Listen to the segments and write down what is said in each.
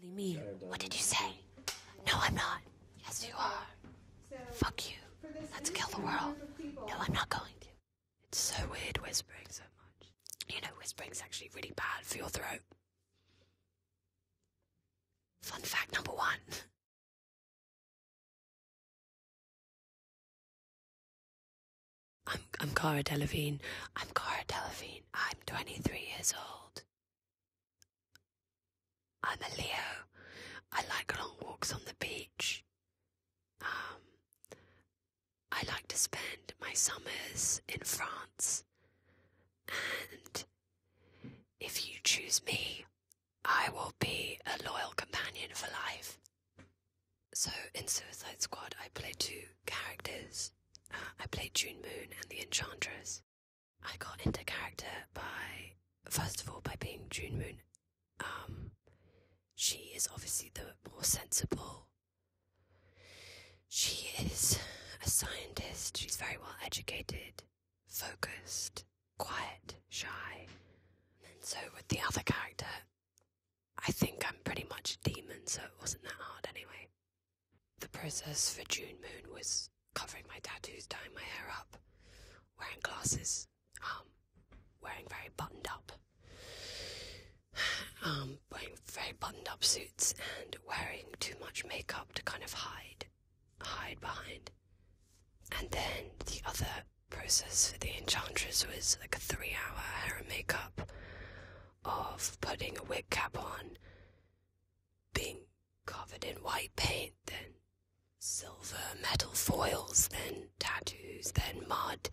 really me. What did you say? No, I'm not. Yes, you are. Fuck you. Let's kill the world. No, I'm not going to. It's so weird whispering so much. You know, whispering's actually really bad for your throat. Fun fact number one I'm, I'm Cara Delevingne. I'm Cara Delevingne. I'm 23 years old. I'm a Leo. I like long walks on the beach. Um, I like to spend my summers in France. And if you choose me, I will be a loyal companion for life. So in Suicide Squad, I play two characters. Uh, I played June Moon and the Enchantress. I got into character by, first of all, by being June Moon. Um, she is obviously the more sensible. She is a scientist, she's very well educated focused, quiet, shy. And so with the other character, I think I'm pretty much a demon, so it wasn't that hard anyway. The process for June Moon was covering my tattoos, tying my hair up, wearing glasses, um, wearing very buttoned up, um, wearing very buttoned up suits, and wearing too much makeup to kind of hide hide behind. And then the other process for the enchantress was like a three hour hair and makeup of putting a wig cap on, being covered in white paint, then silver metal foils, then tattoos, then mud,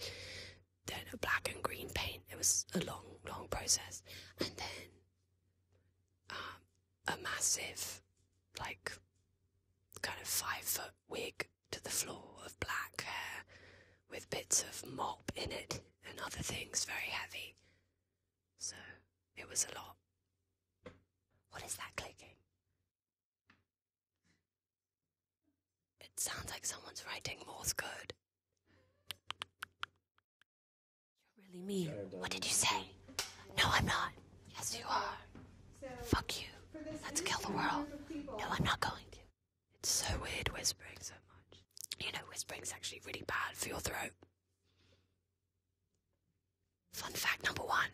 then black and green paint. It was a long, long process. And then um, a massive, like, kind of five foot wig to the floor of black hair with bits of mop in it and other things very heavy. So it was a lot. What is that clicking? It sounds like someone's writing Morse code. You're really mean. What did you say? No, I'm not. Yes, you are. Fuck you. Let's kill the world. No, I'm not going to. It's so weird whispering so much. You know, whispering's actually really bad for your throat. Fun fact number one.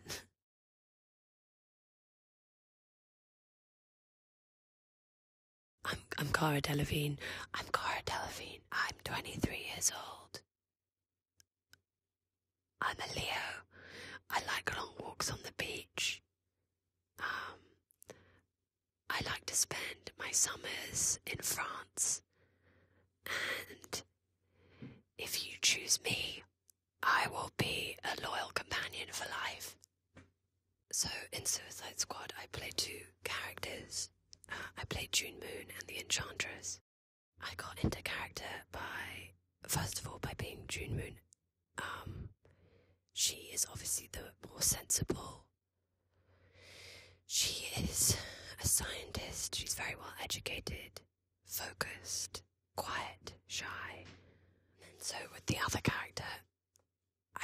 I'm, I'm Cara Delevingne. I'm Cara Delevingne. I'm 23 years old. I'm a Leo. I like long walks on the beach. Um, I like to spend my summers in France. And if you choose me, I will be a loyal companion for life. So in Suicide Squad, I play two characters. Uh, I play June Moon and the Enchantress. I got into character by first of all by being June Moon. Um, she is obviously the more sensible. She is a scientist. She's very well educated, focused, quiet, shy. And so with the other character,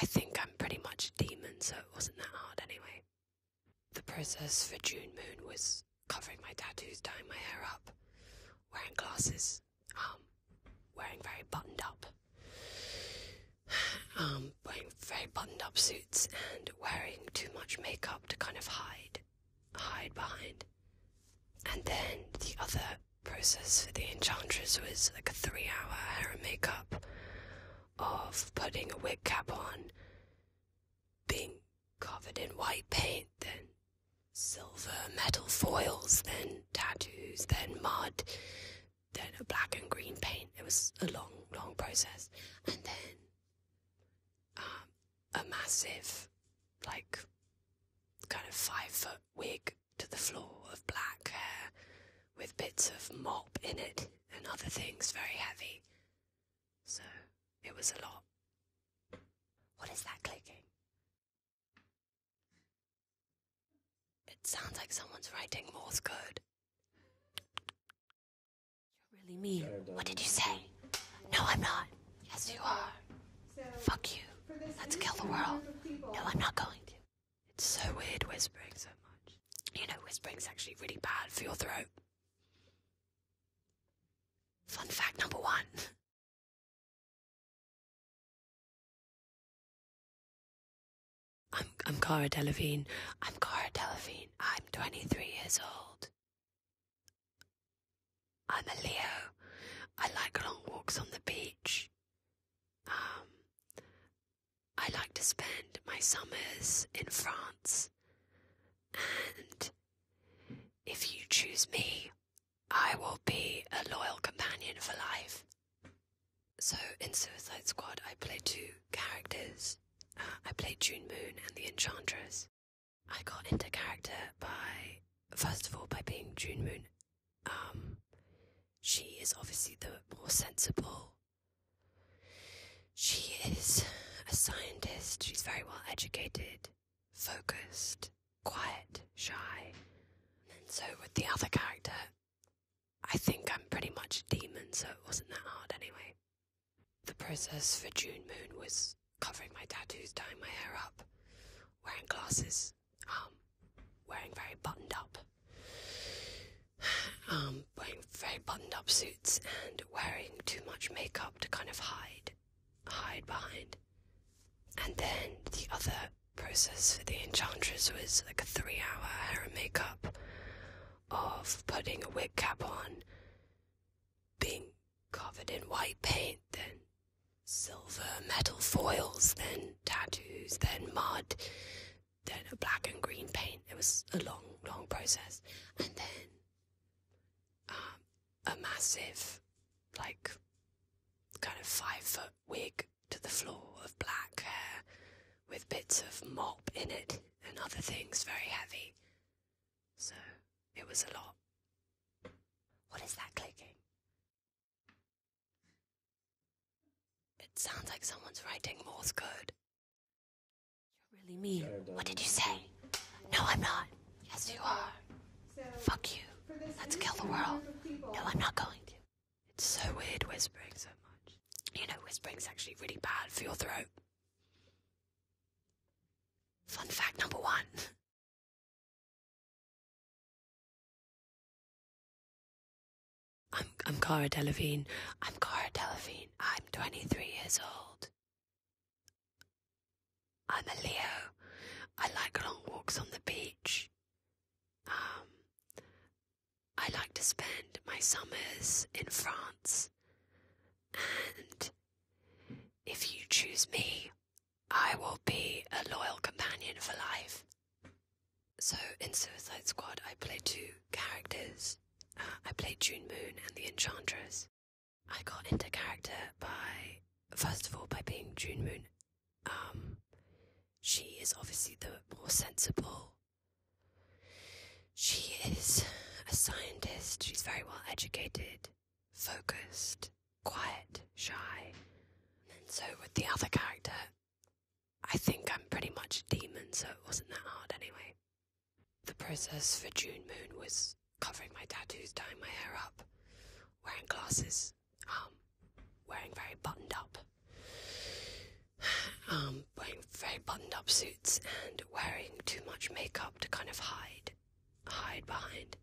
I think I'm pretty much a demon, so it wasn't that hard anyway. The process for June Moon was covering my tattoos, dyeing my hair up, wearing glasses, um, wearing very buttoned up, um, wearing very buttoned up suits, and wearing too much makeup to kind of hide, hide behind. And then the other process for the Enchantress was like a three hour hair and makeup of putting a wig cap on, being Covered in white paint, then silver metal foils, then tattoos, then mud, then a black and green paint. It was a long, long process. And then um, a massive, like, kind of five foot wig to the floor of black hair with bits of mop in it and other things very heavy. So it was a lot. What is that clicking? It sounds like someone's writing Morse code. You're really mean. What did you say? No, I'm not. Yes, you are. Fuck you. Let's kill the world. No, I'm not going to. It's so weird whispering so much. You know, whispering's actually really bad for your throat. Fun fact number one. I'm, I'm Cara Delevingne. I'm Cara Delevingne. I'm 23 years old. I'm a Leo. I like long walks on the beach. Um, I like to spend my summers in France. And if you choose me, I will be a loyal companion for life. So in Suicide Squad, I play two characters. Uh, I play June Moon and the Enchantress. I got into character by, first of all, by being June Moon. Um, she is obviously the more sensible she is a scientist. She's very well educated, focused, quiet, shy. And so with the other character, I think I'm pretty much a demon, so it wasn't that hard anyway. The process for June Moon was covering my tattoos, tying my hair up, wearing glasses, um, wearing very buttoned up, um, wearing very buttoned up suits and wearing too much makeup to kind of hide hide behind. And then the other process for the enchantress was like a three hour hair and makeup of putting a wig cap on, being covered in white paint, then silver metal foils, then tattoos, then mud, then a black and green paint. It was a long, long process. And then a massive, like, kind of five foot wig to the floor of black hair with bits of mop in it and other things very heavy. So it was a lot. What is that clicking? It sounds like someone's writing Morse code. You're really mean. What did you say? No, I'm not. Yes, you are. Fuck you. Let's kill the world. No, I'm not going It's so weird whispering so much. You know, whispering's actually really bad for your throat. Fun fact number one. I'm, I'm Cara Delevingne. I'm Cara Delevingne. I'm 23 years old. I'm a Leo. I like long walks on the beach. Um, I like to spend my summers in France. And if you choose me, I will be a loyal companion for life. So in Suicide Squad, I play two characters. Uh, I play June Moon and the Enchantress. I got into character by first of all by being June Moon. Um, she is obviously the more sensible. She is a scientist. She's very well educated, focused, quiet, shy. And so with the other character, I think I'm pretty much a demon, so it wasn't that hard anyway. The process for June Moon was covering my tattoos, dyeing my hair up, wearing glasses, um, wearing very buttoned up, um, wearing very buttoned up suits, and wearing too much makeup to kind of hide, hide behind.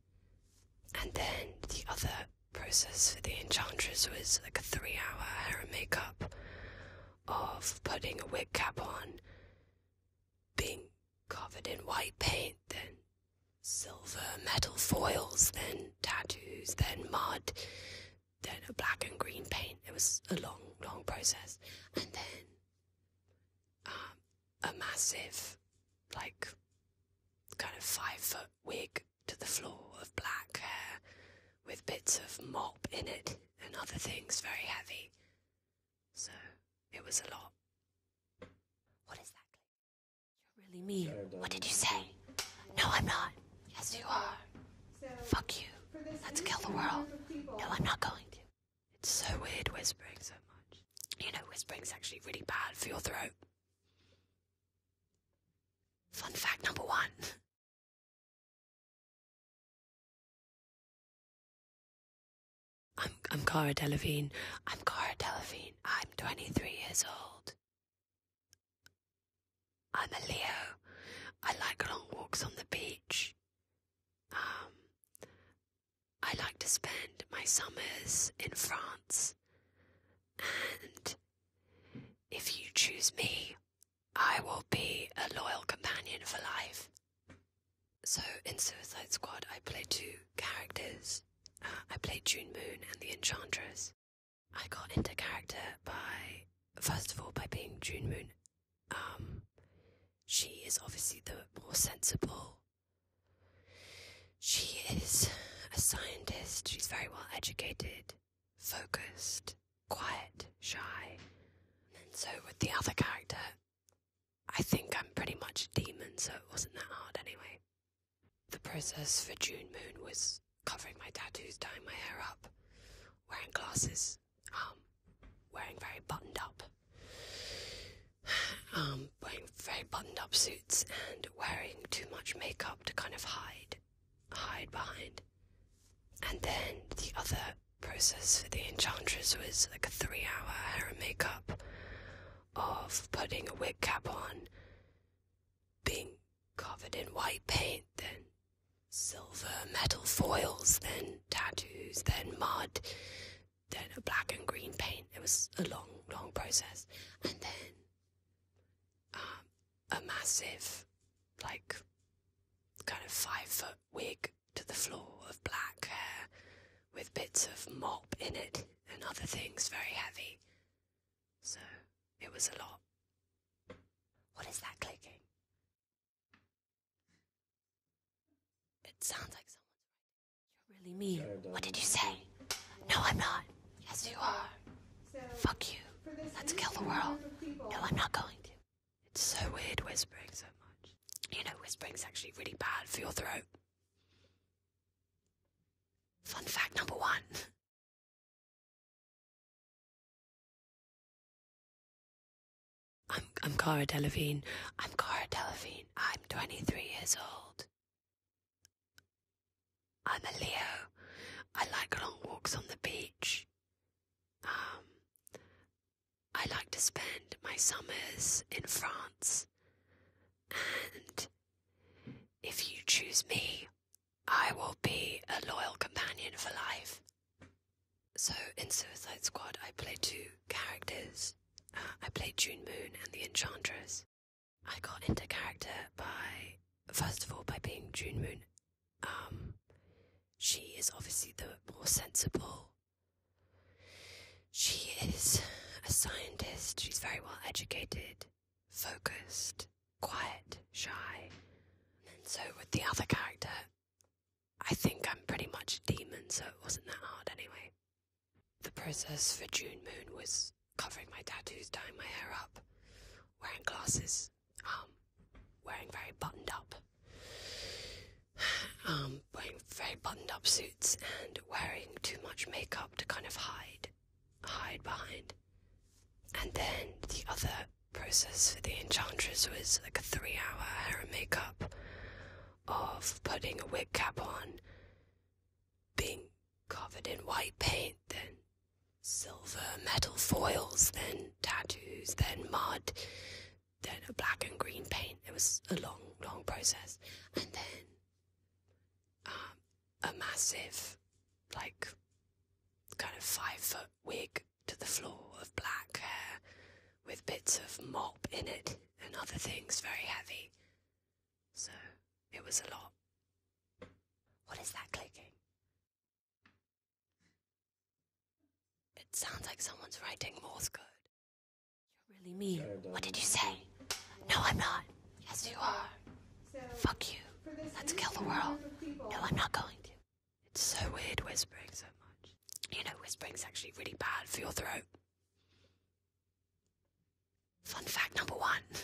And then the other process for the enchantress was like a three hour hair and makeup of putting a wig cap on being covered in white paint, then silver metal foils, then tattoos, then mud, then black and green paint. It was a long, long process. And then um, a massive, like, kind of five foot wig to the floor of black hair with bits of mop in it and other things very heavy. So it was a lot. What is that? You're really mean. What did you say? No, I'm not. Yes, you are. Fuck you. Let's kill the world. No, I'm not going to. It's so weird whispering so much. You know, whispering's actually really bad for your throat. Fun fact number one I'm, I'm Cara Delevingne. I'm Cara Delevingne. I'm 23 years old. I'm a Leo. I like long walks on the beach. Um, I like to spend my summers in France. And if you choose me, I will be a loyal companion for life. So in Suicide Squad, I play two characters. Uh, I play June Moon and the Enchantress. I got into character by first of all by being June Moon. Um, she is obviously the more sensible. She is a scientist. She's very well educated, focused, quiet, shy. And so with the other character, I think I'm pretty much a demon, so it wasn't that hard anyway. The process for June Moon was covering my tattoos, tying my hair up, wearing glasses, um, wearing very buttoned up, um, wearing very buttoned up suits, and wearing too much makeup to kind of hide, hide behind. And then the other process for the enchantress was like a three hour hair and makeup of putting a wig cap on, being covered in white paint, then silver metal foils, then tattoos, then mud, then a black and green paint. It was a long, long process. And then um, a massive, like, kind of five foot wig to the floor of black hair with bits of mop in it and other things very heavy. So it was a lot. What is that clicking? It sounds like someone. You're really mean. What did you say? No, I'm not. Yes, you are. Fuck you. Let's kill the world. No, I'm not going to. It's so weird whispering so much. You know, whispering is actually really bad for your throat. Fun fact number one. I'm I'm Cara Delevingne. I'm Cara Delevingne. I'm 23 years old. I'm a Leo. I like long walks on the beach. Um, I like to spend my summers in France. And if you choose me, I will be a loyal companion for life. So in Suicide Squad, I play two characters. Uh, I play June Moon and the Enchantress. I got into character by, first of all, by being June Moon. Um, she is obviously the more sensible she is a scientist. She's very well educated, focused, quiet, shy. And so, with the other character, I think I'm pretty much a demon, so it wasn't that hard anyway. The process for June Moon was covering my tattoos, tying my hair up, wearing glasses, um, wearing very buttoned up, um, wearing very buttoned up suits and wearing too much makeup to kind of hide, hide behind. And then the other process for the enchantress was like a three-hour hair and makeup of putting a wig cap on, being covered in white paint, then silver metal foils, then tattoos, then mud, then a black and green paint. It was a long, long process, and then um, a massive, like, kind of five foot wig to the floor of black hair with bits of mop in it and other things very heavy. So it was a lot. What is that clicking? It sounds like someone's writing Morse code. You're really mean. What did you say? No, I'm not. Yes, you are. Fuck you. Let's kill the world. No, I'm not going to. It's so weird whispering so much. You know, whispering's actually really bad for your throat. Fun fact number one.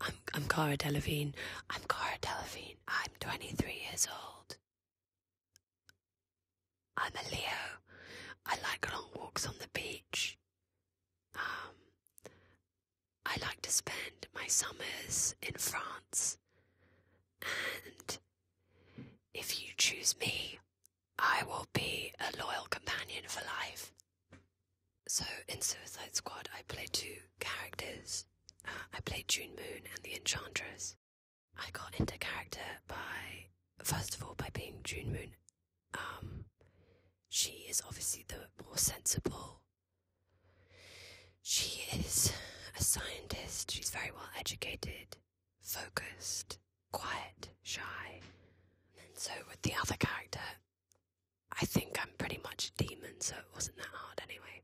I'm, I'm Cara Delevingne. I'm Cara Delevingne. I'm 23 years old. I'm a Leo. I like long walks on the beach. Um, I like to spend my summers in France. And if you choose me, I will be a loyal companion for life. So in Suicide Squad, I play two characters. Uh, I played June Moon and the Enchantress. I got into character by, first of all, by being June Moon. Um, she is obviously the more sensible. She is a scientist. She's very well educated, focused, quiet, shy. And so with the other character, I think I'm pretty much a demon, so it wasn't that hard anyway.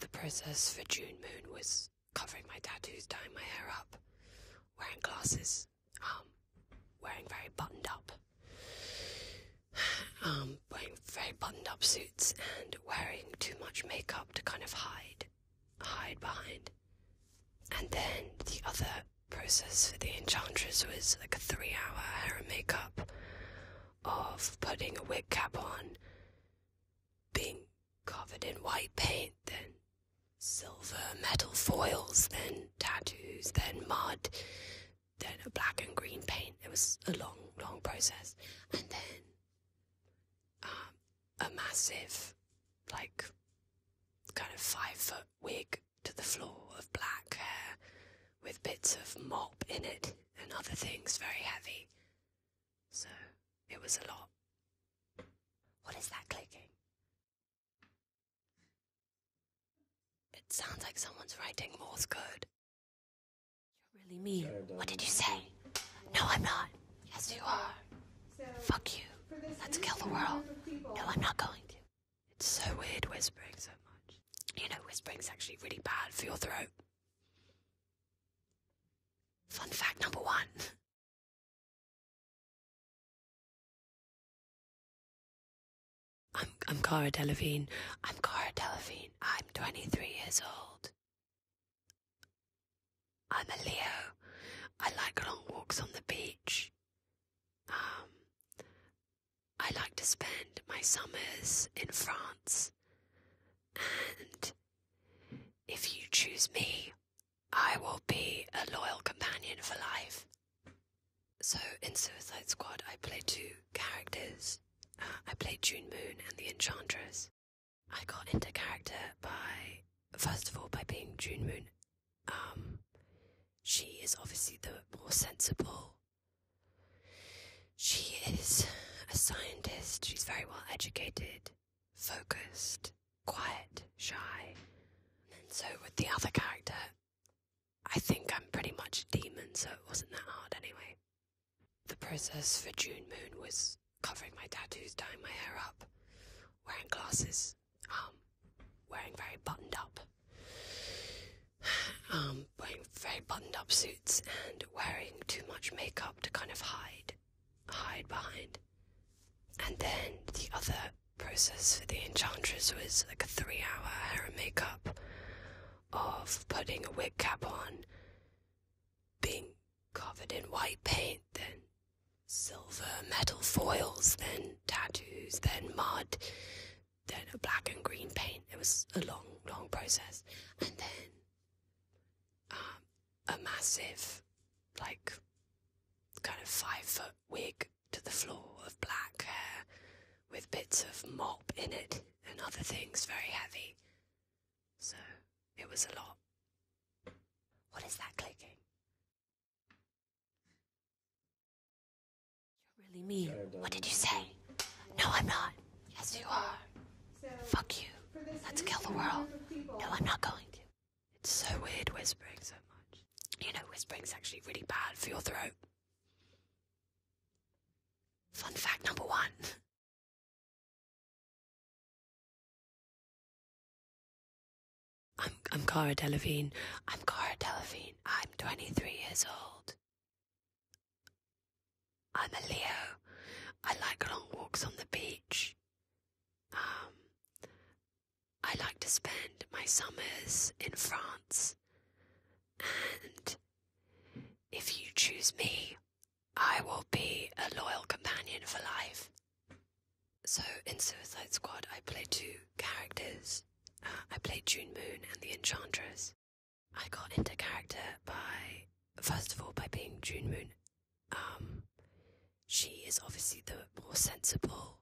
The process for June Moon was covering my tattoos, tying my hair up, wearing glasses, um, wearing very buttoned up, um, wearing very buttoned up suits, and wearing too much makeup to kind of hide, hide behind. And then the other process for the Enchantress was like a three hour hair and makeup of putting a wig cap on, being covered in white paint, then silver metal foils, then tattoos, then mud, then a black and green paint. It was a long, long process. And then um, a massive, like, kind of five foot wig to the floor of black hair with bits of mop in it and other things very heavy. So it was a lot. What is that clicking? It sounds like someone's writing Morse code. You're really mean. what did you say? No, I'm not. Yes, you are. Fuck you. Let's kill the world. No, I'm not going to. It's so weird whispering so much. You know, whispering is actually really bad for your throat. Fun fact number one. I'm I'm Cara Delevingne. I'm Cara Delevingne. I'm 23 years old. I'm a Leo. I like long walks on the beach. Um, I like to spend my summers in France. And if you choose me, I will be a loyal companion for life. So in Suicide Squad, I play two characters. Uh, I play June Moon and the Enchantress. I got into character by, first of all, by being June Moon. Um, she is obviously the more sensible she is a scientist. She's very well educated, focused, quiet, shy. And so, with the other character, I think I'm pretty much a demon, so it wasn't that hard anyway. The process for June Moon was covering my tattoos, tying my hair up, wearing glasses, um, wearing very buttoned up, um, wearing very buttoned up suits and wearing too much makeup to kind of hide hide behind. And then the other process for the enchantress was like a three hour hair and makeup of putting a wig cap on, being covered in white paint, then silver metal foils, then tattoos, then mud, then a black and green paint. It was a long, long process, and then um, a massive, like, kind of five foot wig to the floor of black hair with bits of mop in it and other things, very heavy. So it was a lot. What is that clicking? You're really mean. What did you say? No, I'm not. Yes, you are. Fuck you. Let's kill the world. No, I'm not going It's so weird whispering so much. You know, whispering's actually really bad for your throat. Fun fact number one. I'm I'm Cara Delevingne. I'm Cara Delevingne. I'm 23 years old. I'm a Leo. I like long walks on the beach. Um, I like to spend my summers in France. And if you choose me, I will be a loyal companion for life. So in Suicide Squad, I play two characters I played June Moon and the Enchantress. I got into character by, first of all, by being June Moon. Um, she is obviously the more sensible.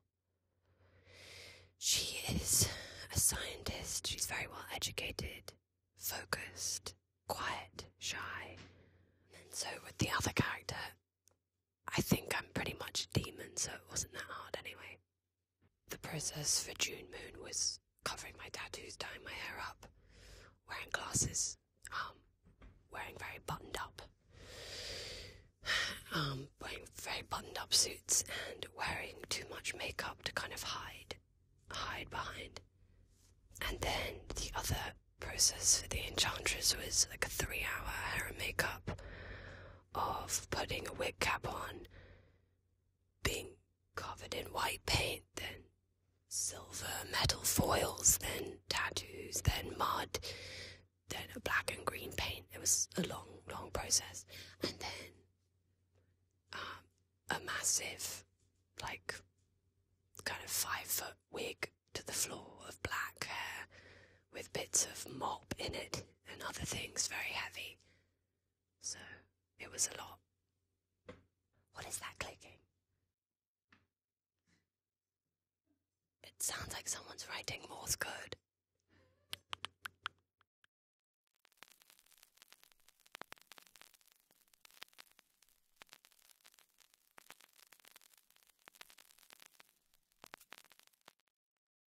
She is a scientist. She's very well educated, focused, quiet, shy. And so with the other character, I think I'm pretty much a demon, so it wasn't that hard anyway. The process for June Moon was covering my tattoos, tying my hair up, wearing glasses, um, wearing very buttoned up, um, wearing very buttoned up suits, and wearing too much makeup to kind of hide, hide behind. And then the other process for the Enchantress was like a three hour hair and makeup of putting a wig cap on being covered in white paint, then silver metal foils, then tattoos, then mud, then a black and green paint. It was a long, long process. And then um, a massive, like, kind of five foot wig to the floor of black hair with bits of mop in it and other things very heavy so it was a lot. What is that clicking? It sounds like someone's writing Morse code.